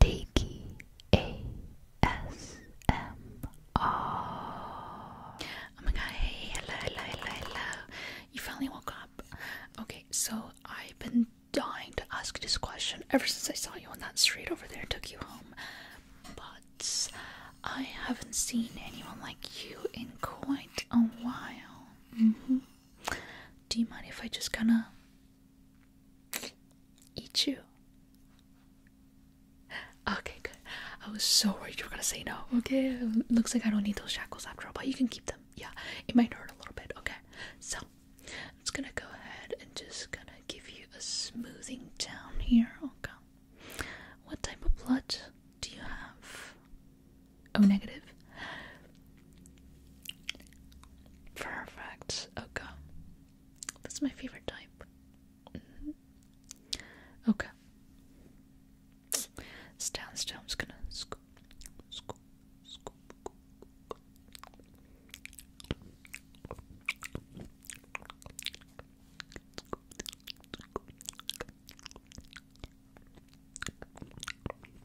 Tiki Oh my god, hello, hello, hello, hello. You finally woke up. Okay, so I've been dying to ask this question ever since I saw you on that street over there and took you home. But I haven't seen anyone like you in quite a while. Mm-hmm. Do you mind if I just kind of Eat you. Okay, good. I was so worried you were gonna say no. Okay, looks like I don't need those shackles after all, but you can keep them. Yeah, it might hurt a little bit. Okay, so I'm just gonna go ahead and just gonna give you a smoothing down here. Okay, what type of blood do you have? Oh, negative. Perfect. Okay. That's my favorite type. Okay. Stand still. I'm gonna scoo scoo scoo.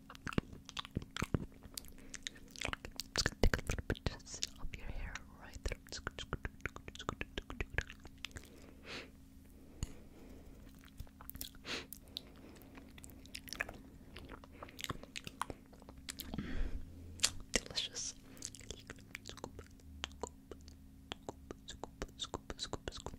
Just gonna take a little bit just of your hair right there. Just gonna, just gonna, just gonna, just gonna, just gonna. Delicious. Scoop, scoop, scoop, scoop, scoop.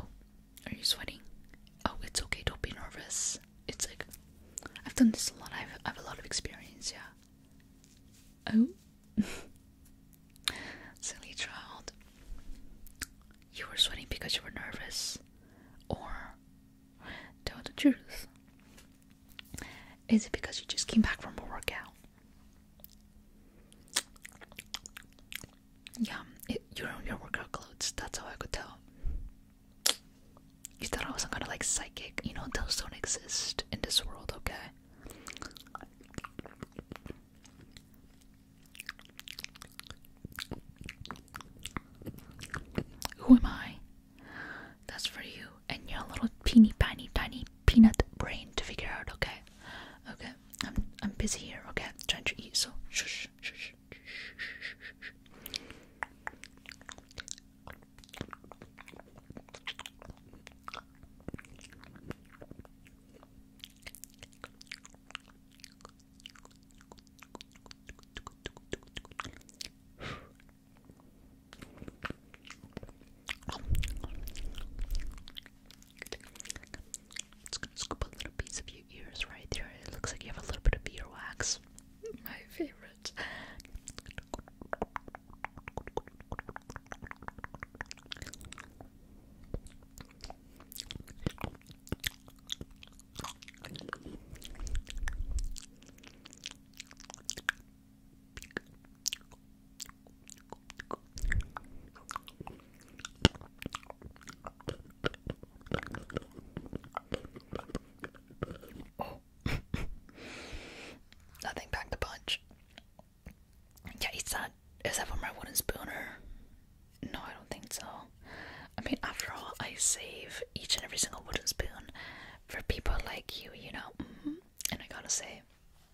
Oh, are you sweating? Oh, it's okay. Don't be nervous. It's like I've done this a lot. I've I've a lot of experience. Yeah. Oh, silly child. You were sweating because you were nervous, or tell the truth. Is it because you just came back from a workout? Yeah, you're in your workout clothes. That's how I could tell. You thought I was some kind of like psychic. You know, those don't exist in this world, okay? Who am I? That's for you and your little teeny tiny tiny peanut brain to figure out, okay? Okay. I'm I'm busy here. Okay, trying to eat. So shush, shush. It's gonna scoop a little piece of your ears right there. It looks like you have a little bit of wax. My favorite. Nothing packed a punch. Yeah, is that is that for my wooden spoon or no, I don't think so. I mean after all I save each and every single wooden spoon for people like you, you know. Mm-hmm. And I gotta say,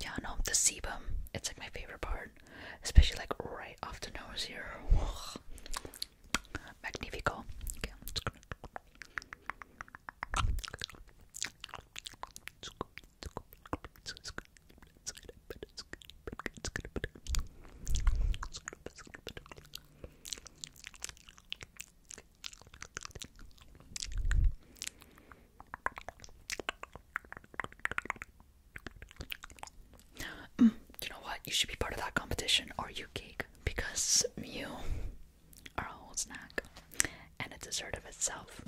Yeah, no, the sebum. It's like my favorite part, especially like right off the nose here. Magnifico. Mm, you know what? You should be part of that competition. Are you cake? Because you are a whole snack, and a dessert of itself.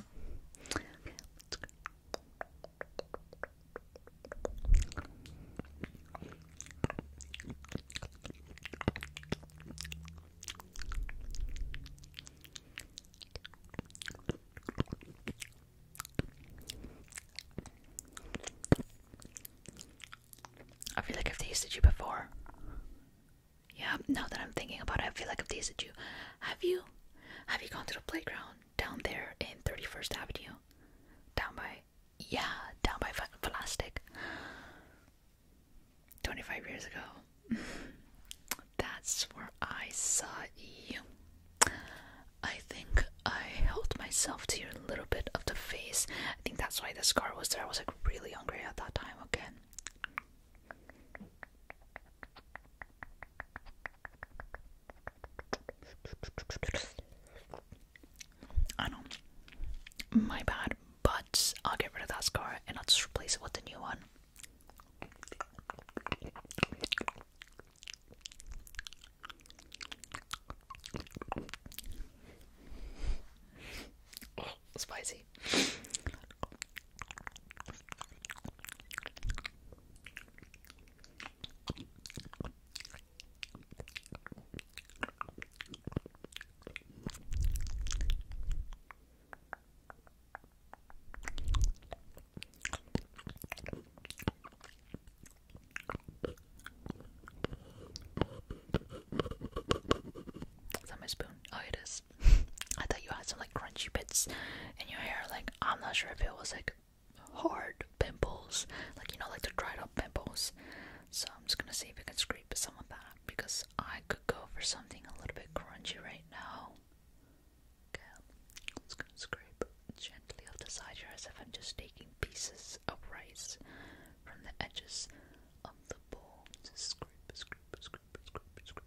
I feel like I've tasted you before. Yeah, now that I'm thinking about it, I feel like I've tasted you. Have you? Have you gone to the playground? down there in 31st Avenue. Down by, yeah, down by Velastic. 25 years ago. That's where I saw you. I think I held myself to your little bit of the face. I think that's why the scar was there. I was like really hungry at that time again. I know. My bad, but I'll get rid of that scar and I'll just replace it with the new one. spicy. Is that my spoon? Oh, it is. I thought you had some like crunchy bits in your hair, like I'm not sure if it was like hard pimples, like you know, like the dried up pimples. So I'm just gonna see if I can scrape some of that because I could go for something a little bit crunchy right now. Okay, I'm just scrape gently off the side here as if I'm just taking pieces of rice from the edges of the bowl. scrape, scrape, scrape, scrape, scrape.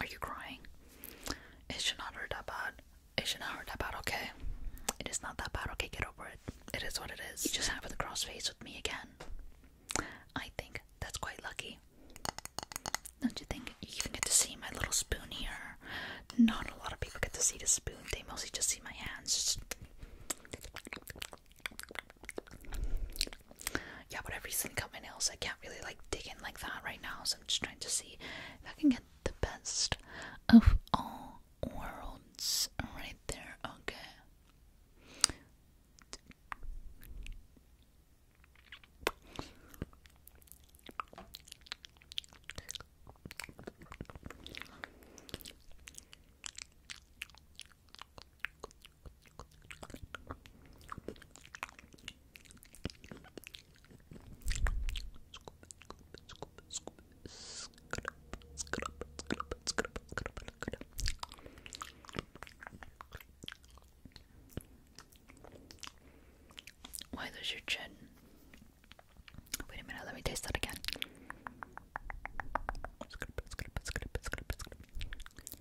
Are you crying? It should not hurt that bad. It should not hurt that bad, okay? It is not that bad, okay? Get over it. It is what it is. You just have the cross face with me again. I think that's quite lucky. Don't you think? You even get to see my little spoon here. Not a lot of people get to see the spoon, they mostly just see my hands. Yeah, but I recently cut my nails. I can't really like dig in like that right now, so I'm just trying to see if I can get the best of all worlds right there. Okay. Why does your chin? Wait a minute, let me taste that again.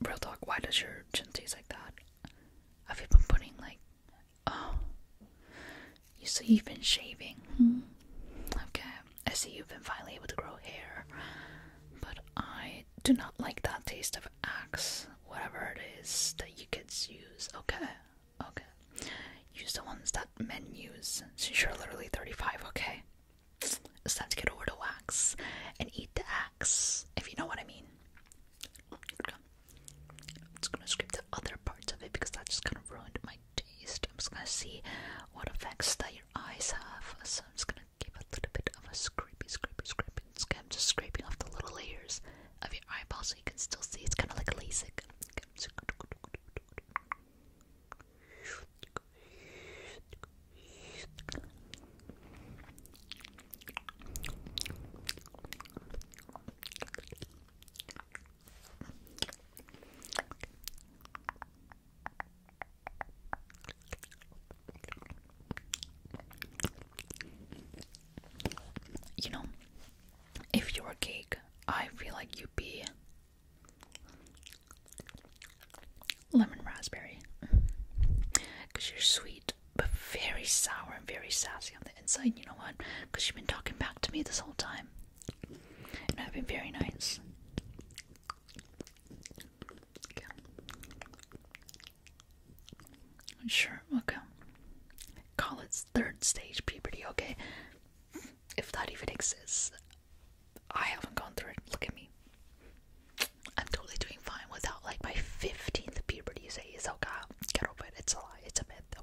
Real talk, why does your chin taste like that? Have you been putting like oh you see you've been shaving? Hmm? Okay. I see you've been finally able to grow hair. But I do not like that taste of axe, whatever it is that you kids use. Okay. Okay. Use the ones that men use since you're literally 35, okay? It's time to get over the wax and eat the ax if you know what I mean. I'm just gonna scrape the other parts of it because that just kind of ruined my taste. I'm just gonna see what effects that your eyes have. So I'm just gonna give a little bit of a scrapey, scrapey, scrapey. I'm just scraping off the little layers of your eyeball so you can still see. It's kind of like a LASIK. You know, if you were a cake, I feel like you'd be lemon raspberry because you're sweet but very sour and very sassy on the inside. You know what? Because you've been talking back to me this whole time, and I've been very nice. Sure. Okay. Call it third stage puberty. Okay. If that even exists, I haven't gone through it. Look at me. I'm totally doing fine without like my 15th puberty phase. Oh god, get over it. It's a lie. It's a myth. Oh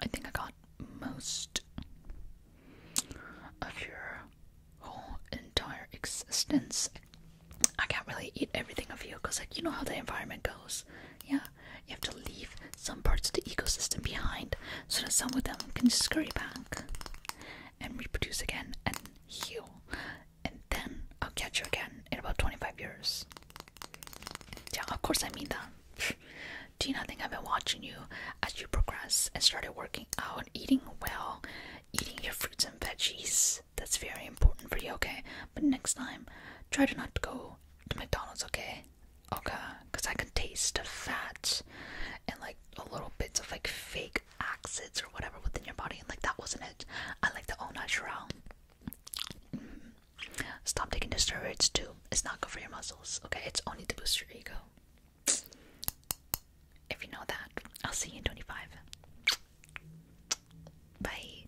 I think I got most of your whole entire existence. I can't really eat everything of you because, like, you know how the environment goes. Yeah, you have to leave some parts of the ecosystem behind so that some of them can scurry back and reproduce again and heal and then I'll catch you again in about 25 years. Yeah, of course I mean that. Do you not think I've been watching you as you progress and started working out, eating well, eating your fruits and veggies? That's very important for you, okay? But next time, try to not go to McDonald's, okay? Okay, because I can taste the fats and like a little bits of like fake acids or whatever within your body, and like that wasn't it. I like the all natural. Stop taking the steroids too. It's not good for your muscles, okay? It's only to boost your ego. If you know that, I'll see you in 25. Bye.